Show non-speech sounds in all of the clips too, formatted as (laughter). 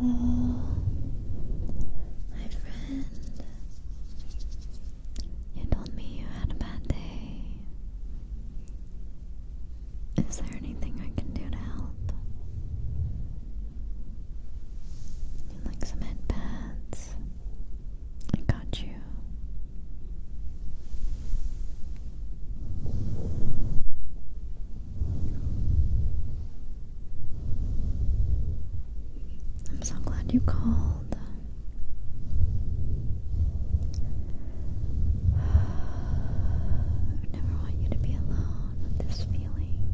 Hello, oh, my friend. You told me you had a bad day. Is there anything I can do to help? You like some head I got you. I'm so glad you called. (sighs) I never want you to be alone with this feeling.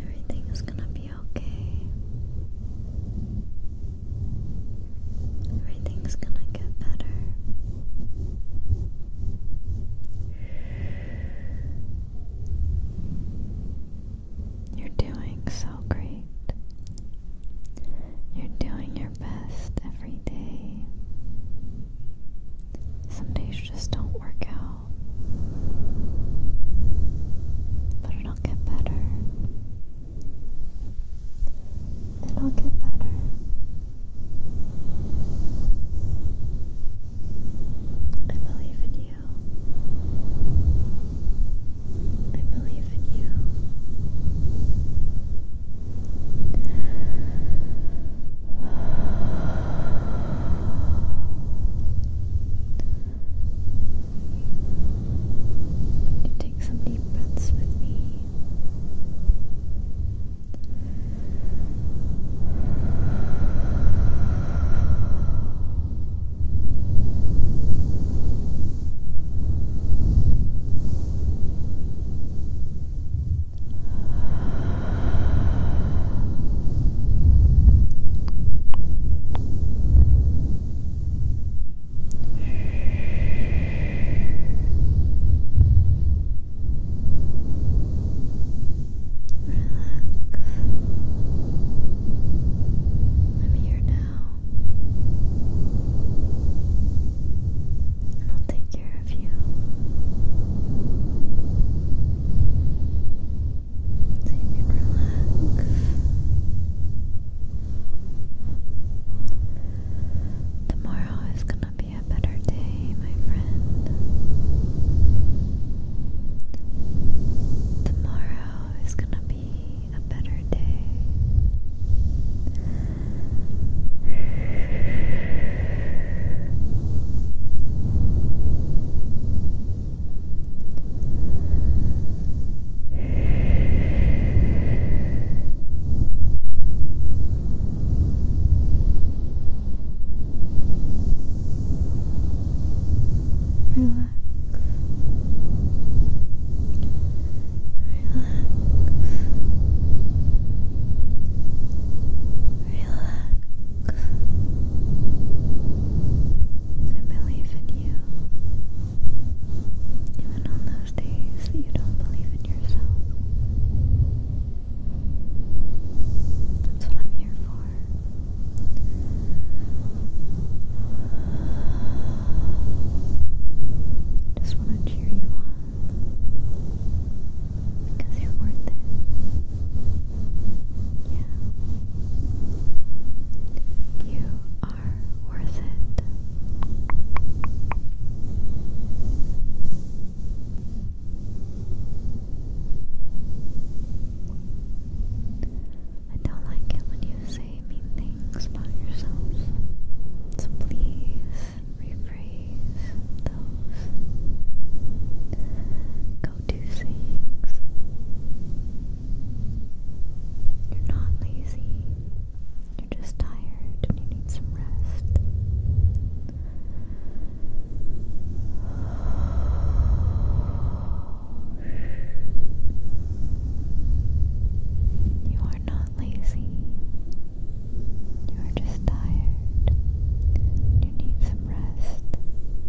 Everything is going to be okay. Everything's gonna get better. You're doing so great. You're doing your best every day. Some days just don't work out. But it it'll get better. It'll get better. I believe in you. I believe in you. (sighs) You take some deep breaths with me. I'm here now. And I'll take care of you so you Tomorrow is gonna be a better day, my friend. Tomorrow is gonna be a better day. Relax. Relax. Relax. I believe in you. Even on those days that you don't believe in yourself. That's what I'm here for. Just want to cheer you on because you're worth it. Yeah. You are worth it. I don't like it when you say mean things about yourself. So please rephrase those go to things. You're not lazy. You're just tired and you need some rest. You are not lazy. You are just tired. You need some rest.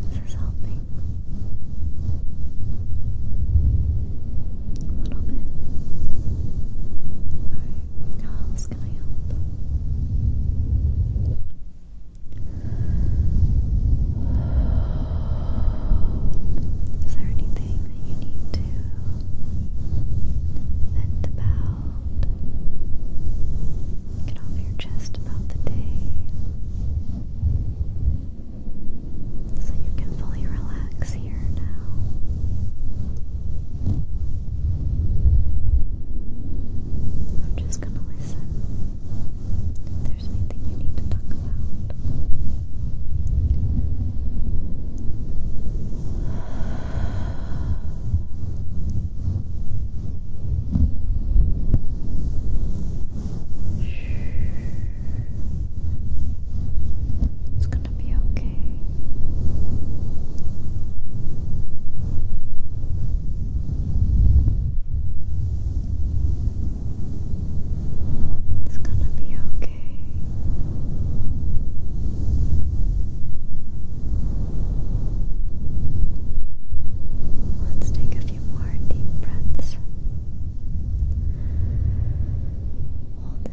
This is helping a little bit. how else can I help? Is there anything that you need to vent about? Get off your chest about the day. So you can fully relax here now. I'm just gonna listen. If there's anything you need to talk about. It's gonna be okay. It's gonna be okay. Let's take a few more deep breaths. Hold it.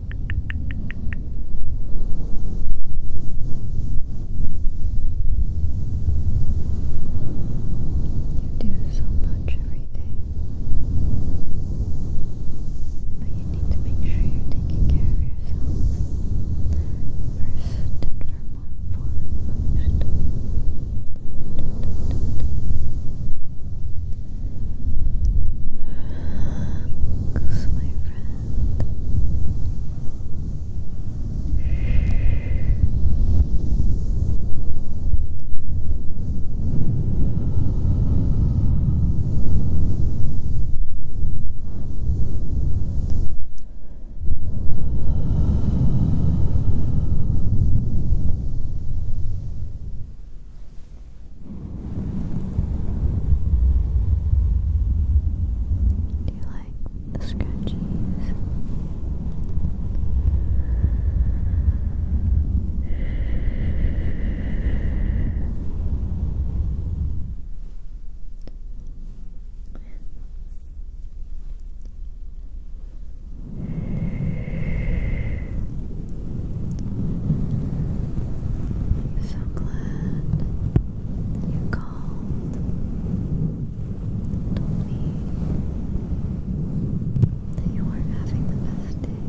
You do so much every day, but you need to make sure you're taking care of yourself first and foremost. Relax, my friend. Do you like the scratchies? So glad you called told me that you weren't having the best day.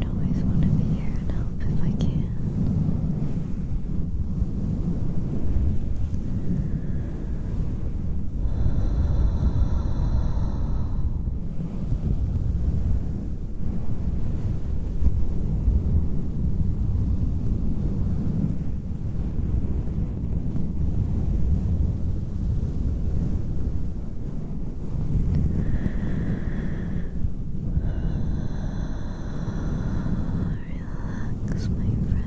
I always want to be here and help if I can. Relax, my friend.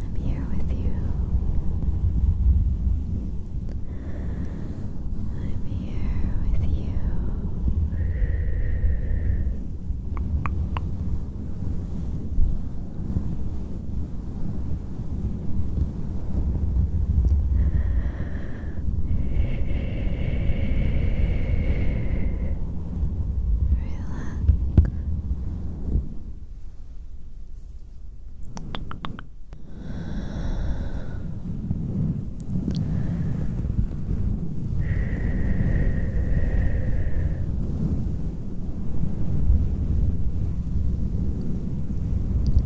I'm here with you. I'm here with you. Relax.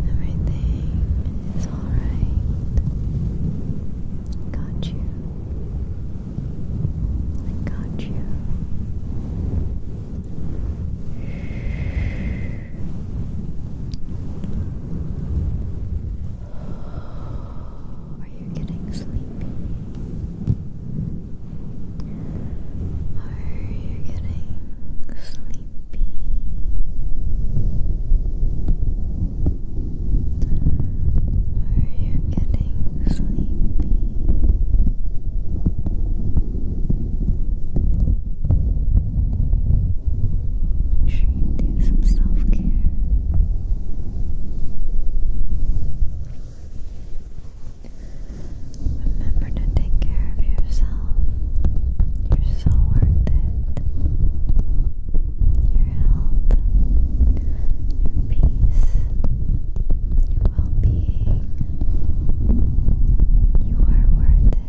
Everything is all right. Got you. I got you. Are you getting sleepy? Are you getting sleepy? Are you getting sleepy. Make sure you do some self care. Remember to take care of yourself. You're so worth it. Your health, your peace, your well You are worth it.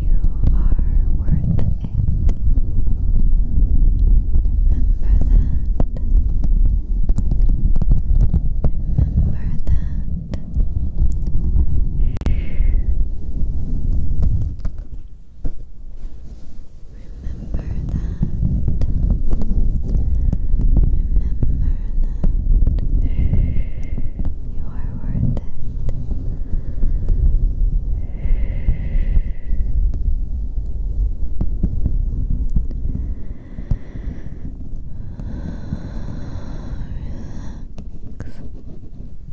You are worth it. Remember that. Remember that. Remember that. Remember that. You are worth it. Relax.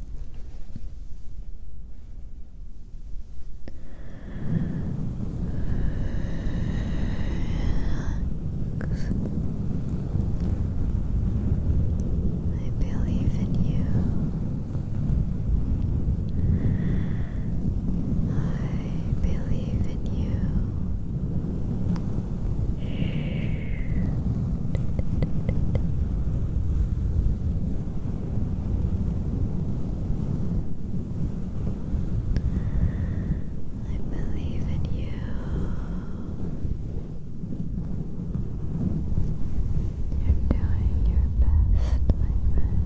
I believe in you. I believe in you. I believe in you. You're doing your best, my friend.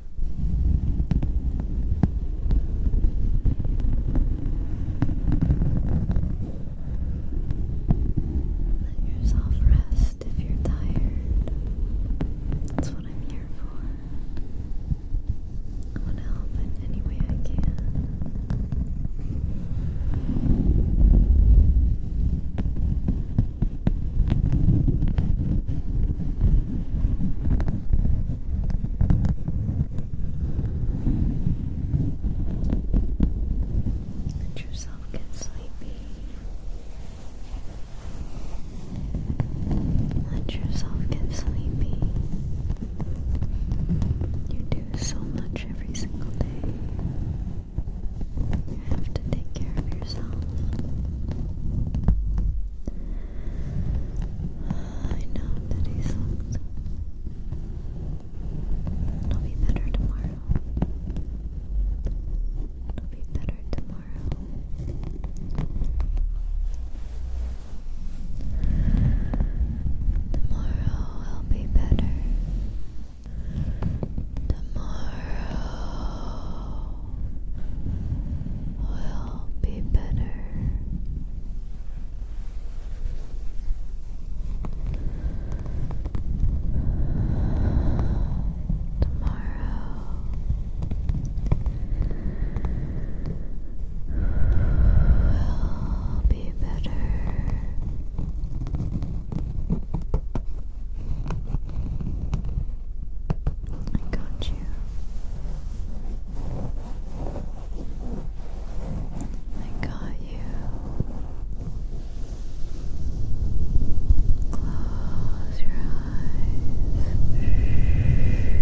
Let yourself rest if you're tired. That's what I'm here for. I want help in any way I can. Let yourself get sleepy. Let yourself get sleepy. You do so much every single day. You have to take care of yourself. I know that he sucked. It'll be better tomorrow. It'll be better tomorrow. Tomorrow will be better. Tomorrow will be better. Tomorrow will be better. I got you. I got you. Close your eyes. Close your eyes.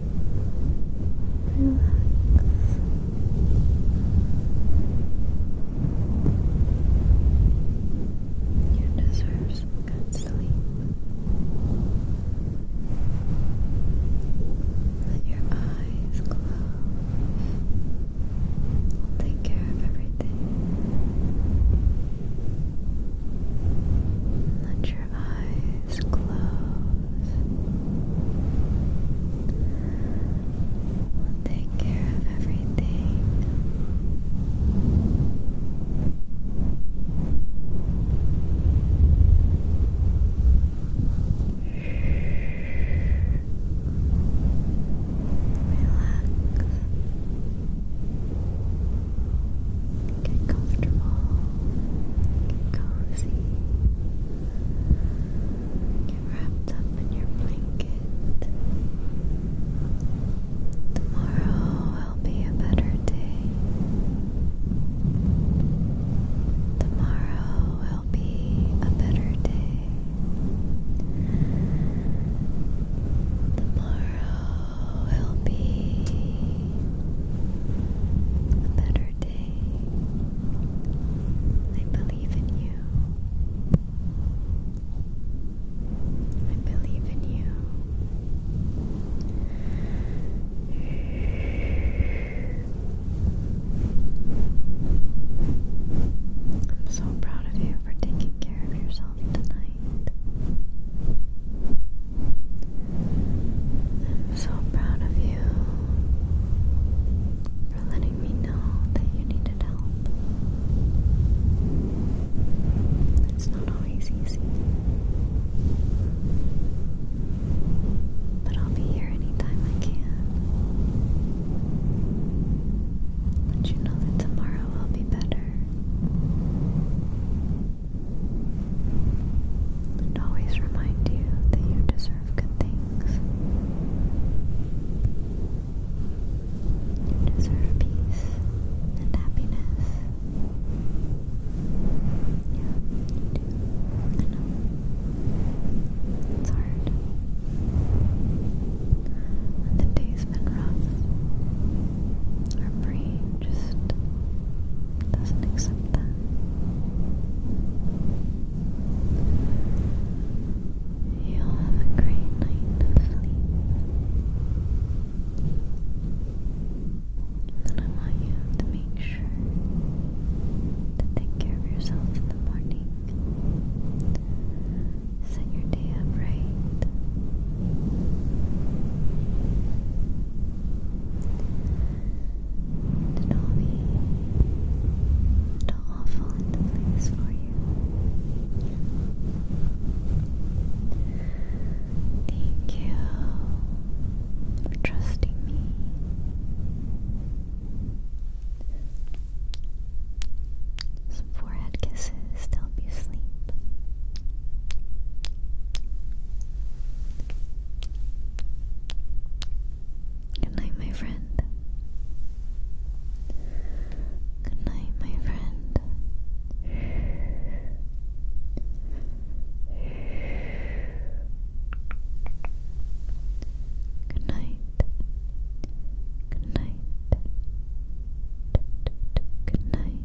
Relax. You deserve good sleep. Let your eyes close. We'll take care of everything. Let your eyes eyes close. We'll take care of everything. Relax. Get comfortable. Get cozy. Get wrapped up in your blanket. Tomorrow will be a better day. Tomorrow will be a better day. Tomorrow will be a better day day. I believe in you. I believe in you. I'm so proud of you for taking care of yourself tonight. I'm so proud of you for letting me know that you needed help. It's not always easy, but I'll be here anytime I can. Let you know that tomorrow I'll be better. And always remind you that you deserve good things. You deserve peace and happiness. Yeah, I know. It's hard. And the day been rough. Our brain just doesn't accept that. You'll have a great night of sleep. And I want you to make sure to take care of yourself in the morning. Set your day up right. Did Ollie, did it all fall into place for you? Thank you for trusting me. Some forehead kisses to help you sleep. Good night, my friend. Good night, my friend. Good night. Good night. Good night. Good night.